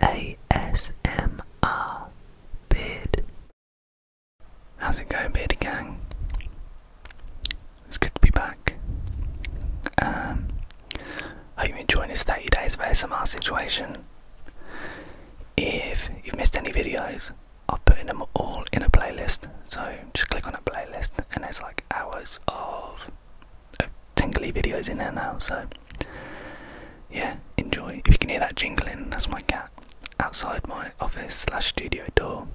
ASMR Beard. How's it going, Beardy Gang? It's good to be back. Um, hope you're enjoying this 30 days of ASMR situation. If you've missed any videos, I've put them all in a playlist. So just click on a playlist, and there's like hours of uh, tingly videos in there now, so yeah, enjoy. If you can hear that jingling, that's my cat outside my office slash studio door,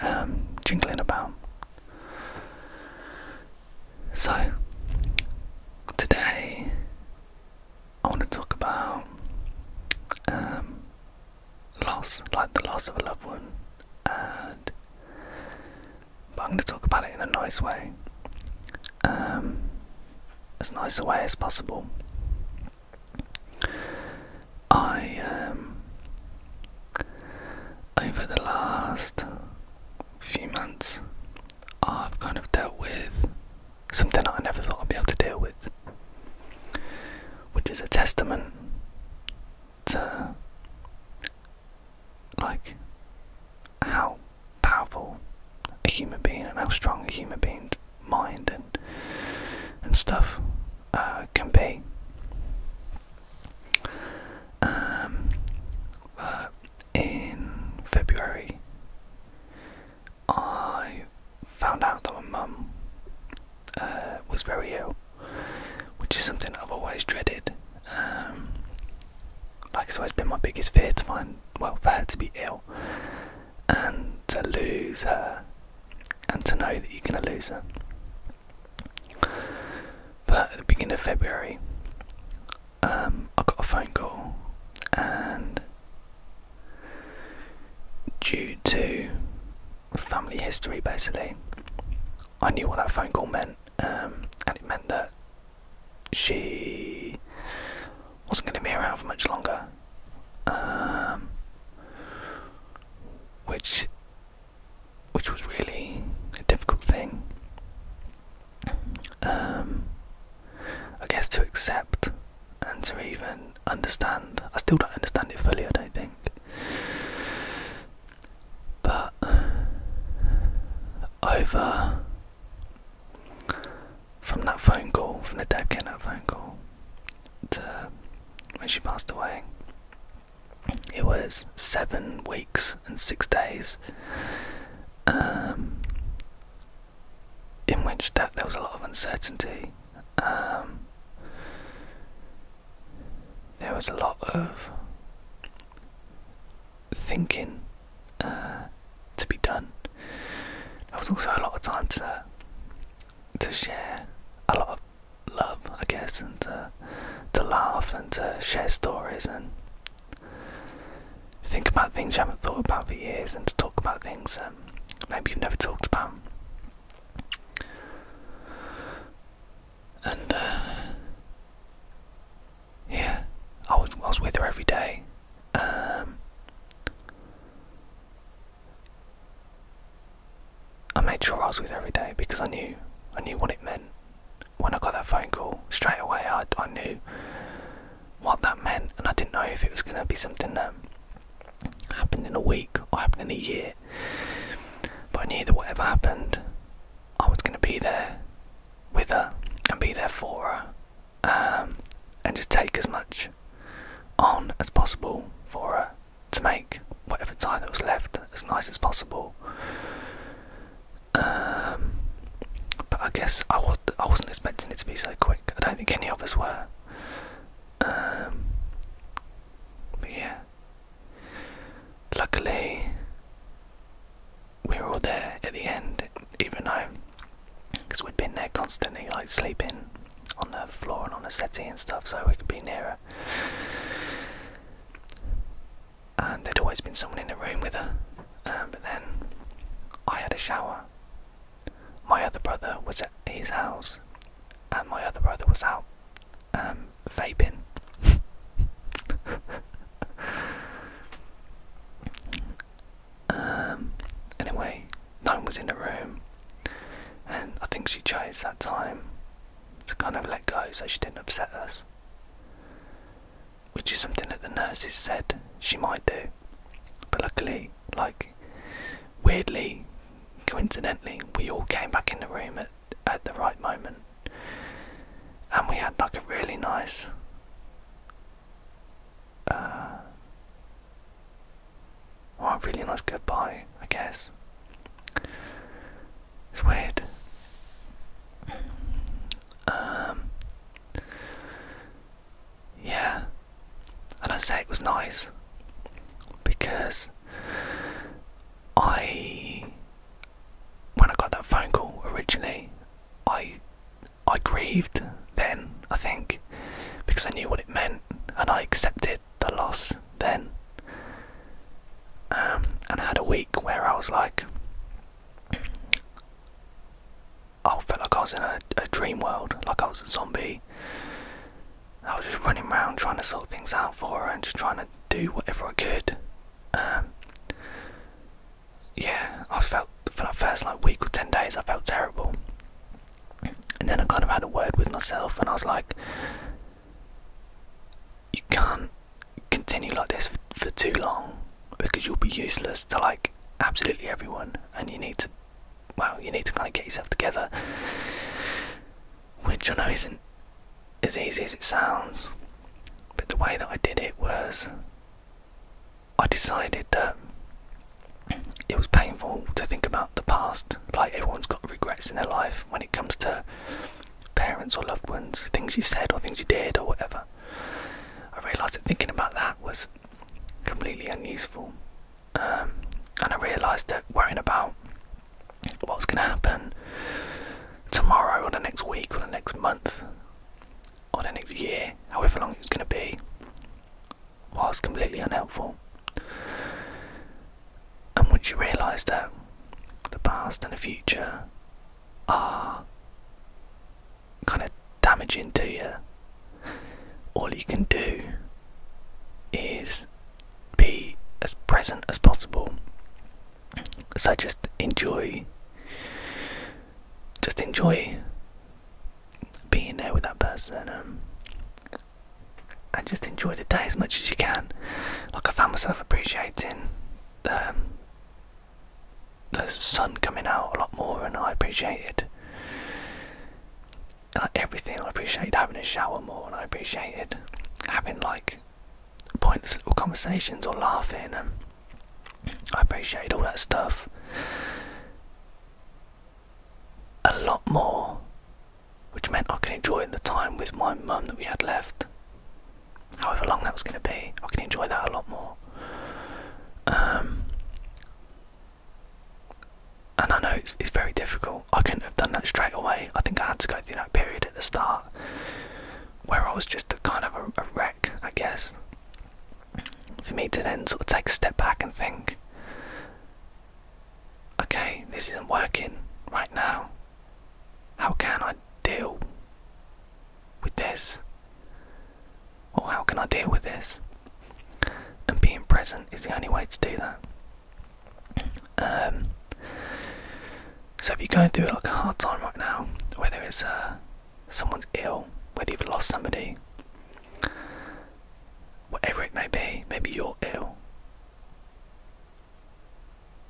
um, jingling about. So today I want to talk about um, loss, like the loss of a loved one, and but I'm going to talk about it in a nice way, um, as nice a way as possible. I, um, over the last few months, I've kind of dealt with something I never thought I'd be able to deal with, which is a testament to like how powerful a human being and how strong a human being's mind and and stuff uh, can be. Um, in February, I found out that my mum uh, was very ill, which is something I've always dreaded. Um, like it's always been my biggest fear to find well for her to be ill and to lose her and to know that you're going to lose her but at the beginning of february um, i got a phone call and due to family history basically i knew what that phone call meant um, and it meant that she wasn't going to be around for much longer. Um, which which was really a difficult thing. Um, I guess to accept and to even understand. I still don't understand it fully, I don't think but over from that phone call, from the dad getting that phone call to when she passed away, it was seven weeks and six days. Um, in which that there was a lot of uncertainty. Um, there was a lot of thinking uh, to be done. There was also a lot of time to to share a lot of love, I guess, and to, to laugh and to share stories and think about things you haven't thought about for years and to talk about things that um, maybe you've never talked about and uh, yeah, I was I was with her every day. Um, I made sure I was with her every day because I knew I knew what it meant. When I got that phone call straight away, I I knew what that meant, and I didn't know if it was going to be something that happened in a week or happened in a year. But I knew that whatever happened, I was going to be there with her and be there for her um, and just take as much on as possible for her to make whatever time that was left as nice as possible. Um, but I guess I, was, I wasn't expecting it to be so quick. I don't think any of us were. Um, but yeah. Luckily, we were all there at the end, even though, because we'd been there constantly, like sleeping on the floor and on the settee and stuff, so we could be nearer. And there'd always been someone in the room with her. Um, but then I had a shower. My other brother was at his house, and my other brother was out um, vaping. Um, anyway, no one was in the room, and I think she chose that time to kind of let go so she didn't upset us, which is something that the nurses said she might do. But luckily, like weirdly, coincidentally, we all came back in the room at, at the right moment and we had like a really nice uh, a really nice goodbye, I guess. It's weird. Um, yeah, and I say it was nice because I when I got that phone call originally, I I grieved then, I think, because I knew what it meant and I accepted the loss then. Um, and I had a week where I was like, I felt like I was in a, dream world, like I was a zombie. I was just running around trying to sort things out for her and just trying to do whatever I could. Um, yeah, I felt for that first like week or ten days, I felt terrible. And then I kind of had a word with myself, and I was like, you can't continue like this for, for too long because you'll be useless to like absolutely everyone, and you need to, well, you need to kind of get yourself together, which I know isn't as easy as it sounds, but the way that I did it was I decided that it was painful to think about the past. Like, everyone's got regrets in their life when it comes to parents or loved ones, things you said or things you did or whatever. I realised that thinking about that was completely unuseful. Um, and I realised that worrying about what's going to happen tomorrow or the next week or the next month or the next year, however long it's going to be, was completely unhelpful. And once you realise that the past and the future are kind of damaging to you, all you can do is be as present as possible so just enjoy, just enjoy being there with that person, um, and just enjoy the day as much as you can. Like I found myself appreciating um, the, sun coming out a lot more, and I appreciated like everything. I appreciated having a shower more, and I appreciated having like pointless little conversations or laughing. and. I appreciated all that stuff a lot more, which meant I could enjoy the time with my mum that we had left. However long that was going to be, I could enjoy that a lot more. Um, and I know it's very difficult. I couldn't have done that straight away. I think I had to go through that period at the start where I was just a kind of a, wreck, I guess. For me to then sort of take a step back and think, okay, this isn't working right now. How can I deal with this? Or how can I deal with this? And being present is the only way to do that. Um, so if you're going through like a hard time right now, whether it's uh, someone's ill, whether you've lost somebody, whatever it may be, maybe you're ill.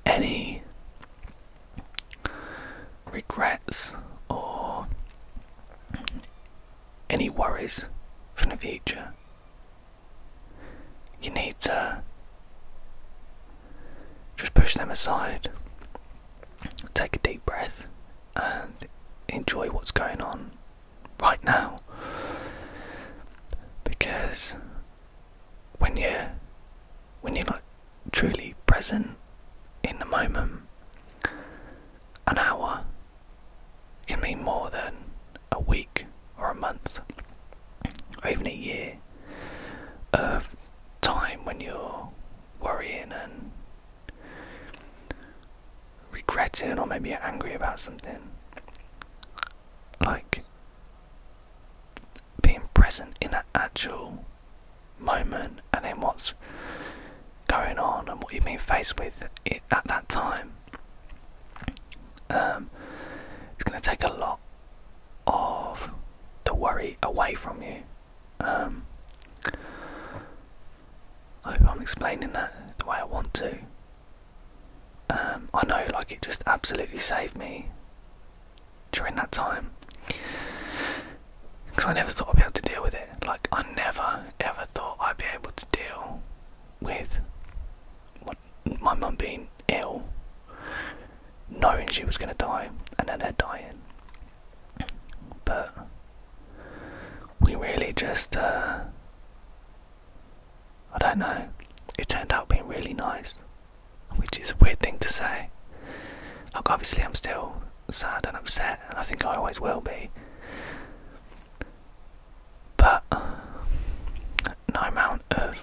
Any regrets or any worries from the future, you need to just push them aside, take a deep breath, and enjoy what's going on right now. Because when you're when you're like truly present in the moment, an hour can mean more than a week or a month or even a year of time when you're worrying and regretting, or maybe you're angry about something. Like being present in an actual moment and in what's going on and what you've been faced with at that time. Um, it's going to take a lot of the worry away from you. Um, I hope I'm explaining that the way I want to. Um, I know, like, it just absolutely saved me during that time because I never thought I'd be able to deal with it. Like, I never ever thought I'd be able to deal with my mum being ill knowing she was going to die, and then they're dying. But we really just, uh, I don't know, it turned out being really nice, which is a weird thing to say. Like, obviously, I'm still sad and upset, and I think I always will be. But no amount of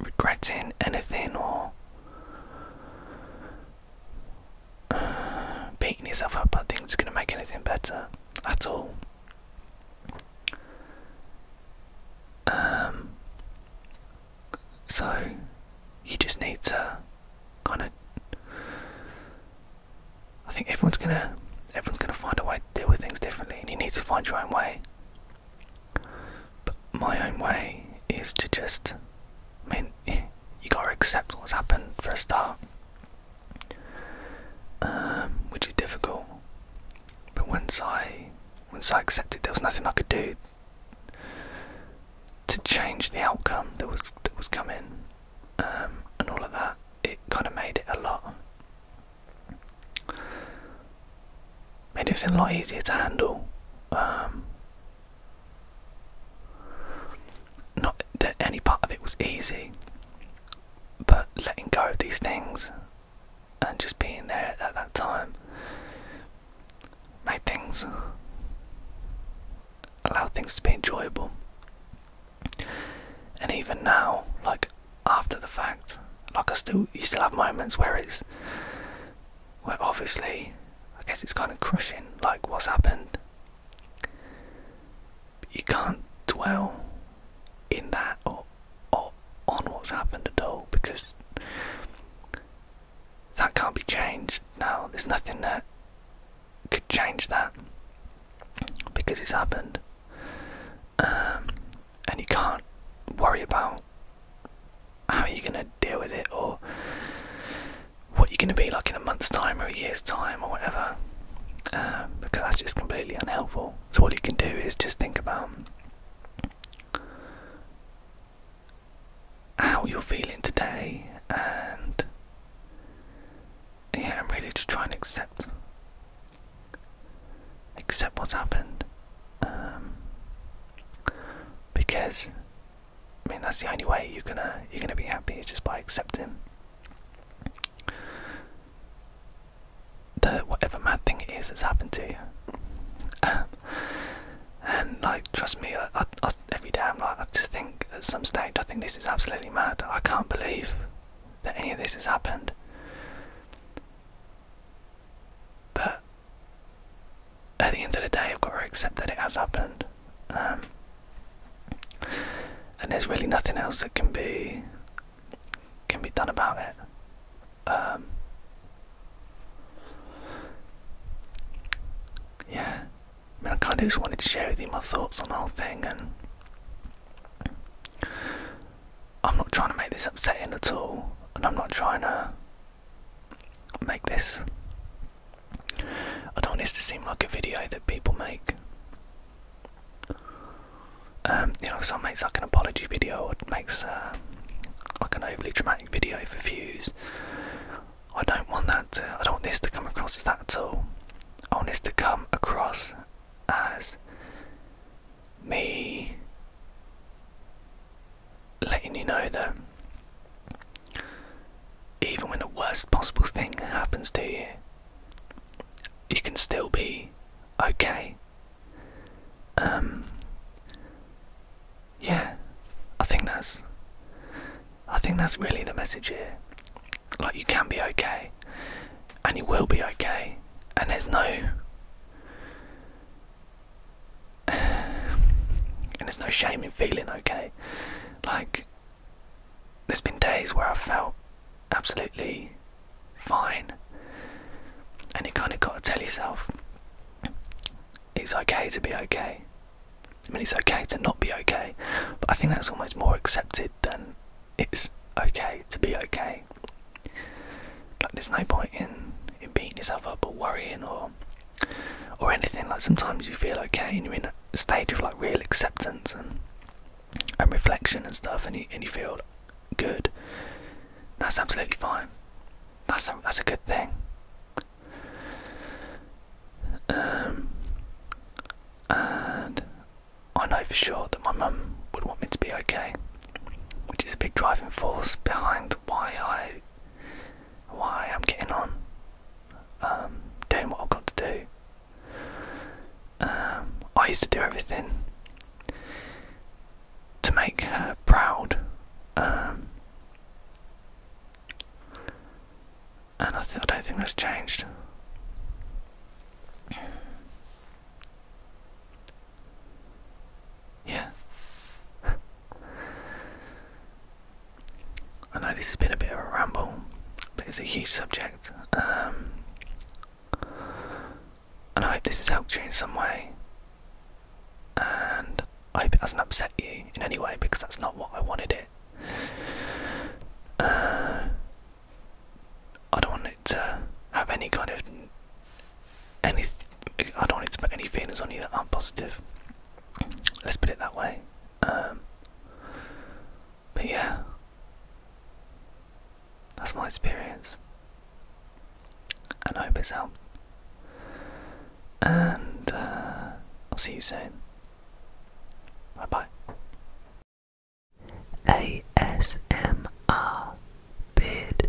regretting anything or uh, beating yourself up i think it's going to make anything better at all. Um, so you just need to kind of. I think everyone's gonna everyone's gonna find a way to deal with things differently, and you need to find your own way. But my own way is to just, I mean, you gotta accept what's happened for a start, um, which is difficult. But once I, once I accepted, there was nothing I could do to change the outcome that was that was coming, um, and all of that. It kind of made it a lot made it feel a lot easier to handle. Um, not that any part of it was easy, but letting go of these things and just being there at that time made things allow things to be enjoyable. And even now, like after the fact, like I still you still have moments where it's where obviously I guess it's kind of crushing, like what's happened. But you can't dwell in that or, on what's happened at all because that can't be changed now. There's nothing that could change that because it's happened. Um, and you can't worry about how are you going to deal with it or what you're going to be like in a month's time or a year's time or whatever uh, because that's just completely unhelpful. So, what you can do is just think about how you're feeling today and yeah, I'm really just trying to accept accept what's happened um, because I mean that's the only way you're gonna you're gonna be happy is just by accepting the whatever mad thing it is that's happened to you. and like trust me, every day I'm like I just think at some stage I think this is absolutely mad. I can't believe that any of this has happened. But at the end of the day, I've got to accept that it has happened. Um, and there's really nothing else that can be can be done about it. Um, yeah, I mean, I kind of just wanted to share with you my thoughts on the whole thing, and I'm not trying to make this upsetting at all, and I'm not trying to make this. I don't want this to seem like a video that people make. Um, you know, some makes like an apology video, or makes uh, like an overly dramatic video for views. I don't want that. To, I don't want this to come across as that at all. I want this to come across as me letting you know that even when the worst possible thing happens to you, you can still be okay. Um, yeah, I think that's. I think that's really the message here. Like you can be okay, and you will be okay, and there's no. and there's no shame in feeling okay. Like, there's been days where I've felt absolutely fine, and you kind of got to tell yourself it's okay to be okay. I mean, it's okay to not be okay, but I think that's almost more accepted than it's okay to be okay. Like, there's no point in, in beating yourself up or worrying or or anything. Like sometimes you feel okay and you're in a state of like real acceptance and reflection and stuff, and you feel good. That's absolutely fine. That's a, that's a good thing. Um, and I know for sure that my mum would want me to be okay, which is a big driving force behind why I why I'm getting on, um, doing what I've got to do. Um, I used to do everything to make her proud, um, and I don't think that's changed. Yeah. I know this has been a bit of a ramble, but it's a huge subject. Um, and I hope this has helped you in some way. And I hope it hasn't upset you in any way because that's not what I wanted it. Uh, I don't want it to have any kind of any I don't want to put any feelings on you that aren't positive. Let's put it that way. Um, but yeah, that's my experience, and I hope it's helped. And uh, I'll see you soon. Bye bye. ASMR Beard.